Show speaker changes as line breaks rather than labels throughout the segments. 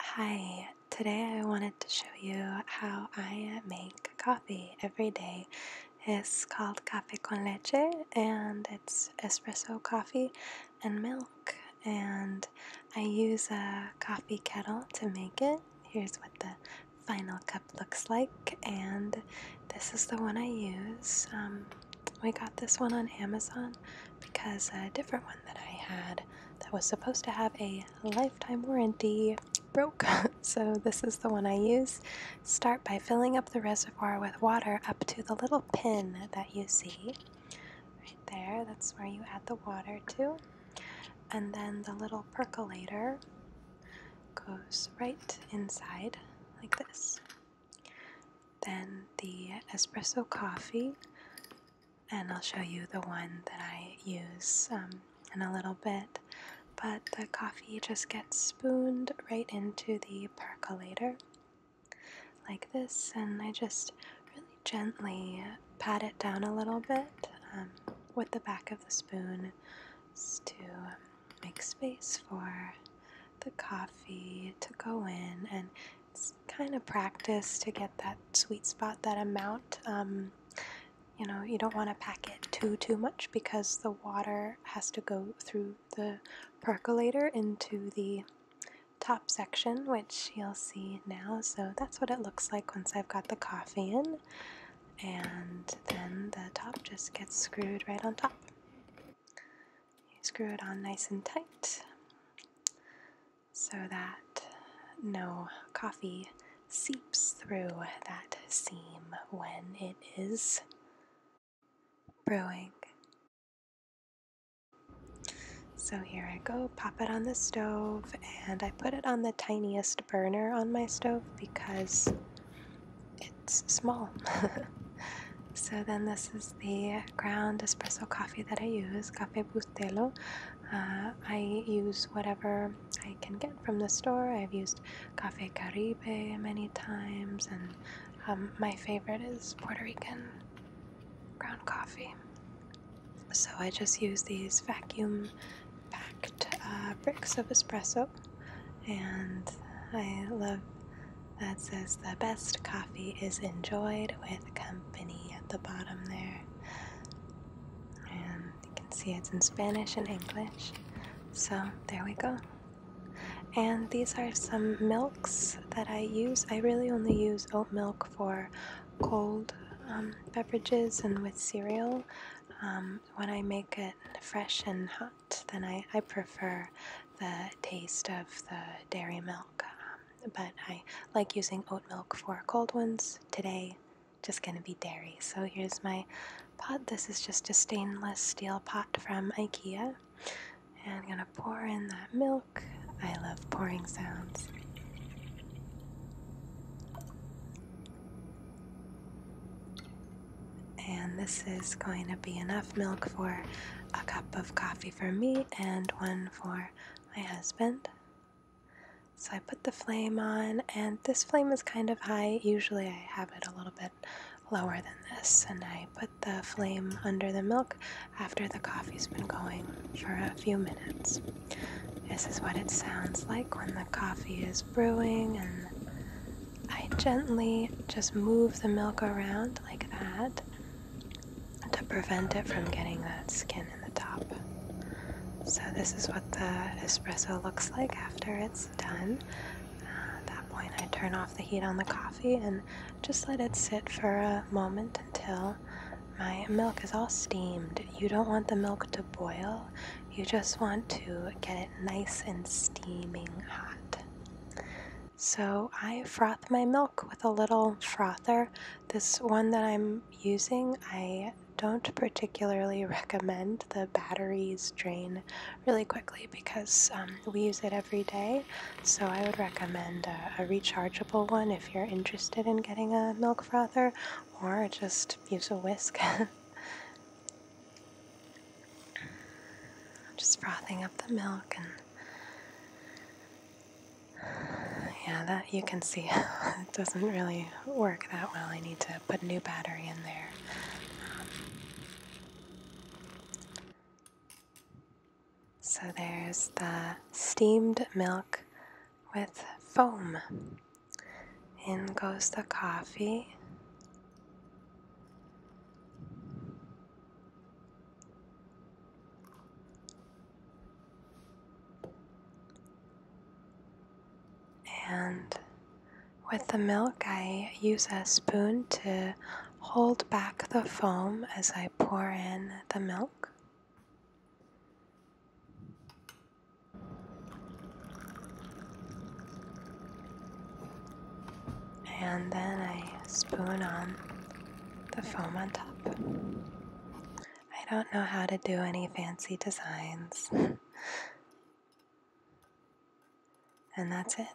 Hi, today I wanted to show you how I make coffee every day. It's called cafe con leche and it's espresso coffee and milk and I use a coffee kettle to make it. Here's what the final cup looks like and this is the one I use. Um, we got this one on Amazon because a different one that I had that was supposed to have a lifetime warranty broke. so this is the one I use. Start by filling up the reservoir with water up to the little pin that you see. Right there, that's where you add the water to. And then the little percolator goes right inside like this. Then the espresso coffee and I'll show you the one that I use um, in a little bit. But the coffee just gets spooned right into the percolator like this, and I just really gently pat it down a little bit um, with the back of the spoon to make space for the coffee to go in, and it's kind of practice to get that sweet spot, that amount. Um, you know, you don't want to pack it too too much because the water has to go through the percolator into the top section, which you'll see now. So that's what it looks like once I've got the coffee in. And then the top just gets screwed right on top. You screw it on nice and tight so that no coffee seeps through that seam when it is brewing. So here I go, pop it on the stove, and I put it on the tiniest burner on my stove because it's small. So then this is the ground espresso coffee that I use, Cafe Bustelo. Uh, I use whatever I can get from the store. I've used Cafe Caribe many times, and um, my favorite is Puerto Rican ground coffee. So I just use these vacuum packed uh, bricks of espresso, and I love that says the best coffee is enjoyed with company at the bottom there. And you can see it's in Spanish and English. So there we go. And these are some milks that I use. I really only use oat milk for cold um, beverages and with cereal. Um, when I make it fresh and hot, then I, I prefer the taste of the dairy milk. Um, but I like using oat milk for cold ones. Today, just gonna be dairy. So here's my pot. This is just a stainless steel pot from IKEA. And I'm gonna pour in that milk. I love pouring sounds. And this is going to be enough milk for a cup of coffee for me and one for my husband. So I put the flame on, and this flame is kind of high. Usually I have it a little bit lower than this, and I put the flame under the milk after the coffee's been going for a few minutes. This is what it sounds like when the coffee is brewing and I gently just move the milk around like that to prevent it from getting that skin in the top. So this is what the espresso looks like after it's done. at that point I turn off the heat on the coffee and just let it sit for a moment until my milk is all steamed. You don't want the milk to boil, you just want to get it nice and steaming hot. So I froth my milk with a little frother. This one that I'm using, I don't particularly recommend. The batteries drain really quickly because um, we use it every day. So I would recommend a, a rechargeable one if you're interested in getting a milk frother or just use a whisk. just frothing up the milk and yeah, that you can see it doesn't really work that well. I need to put a new battery in there. so there's the steamed milk with foam. In goes the coffee. And with the milk, I use a spoon to hold back the foam as I pour in the milk. And then I spoon on the foam on top. I don't know how to do any fancy designs. and that's it.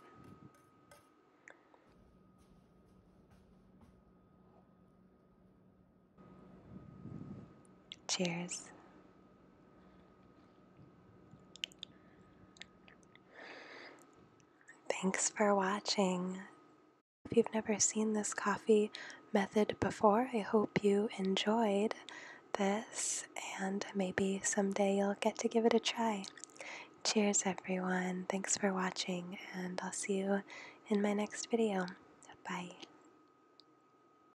Cheers. Thanks for watching. If you've never seen this coffee method before, I hope you enjoyed this and maybe someday you'll get to give it a try. Cheers, everyone. Thanks for watching, and I'll see you in my next video. Bye.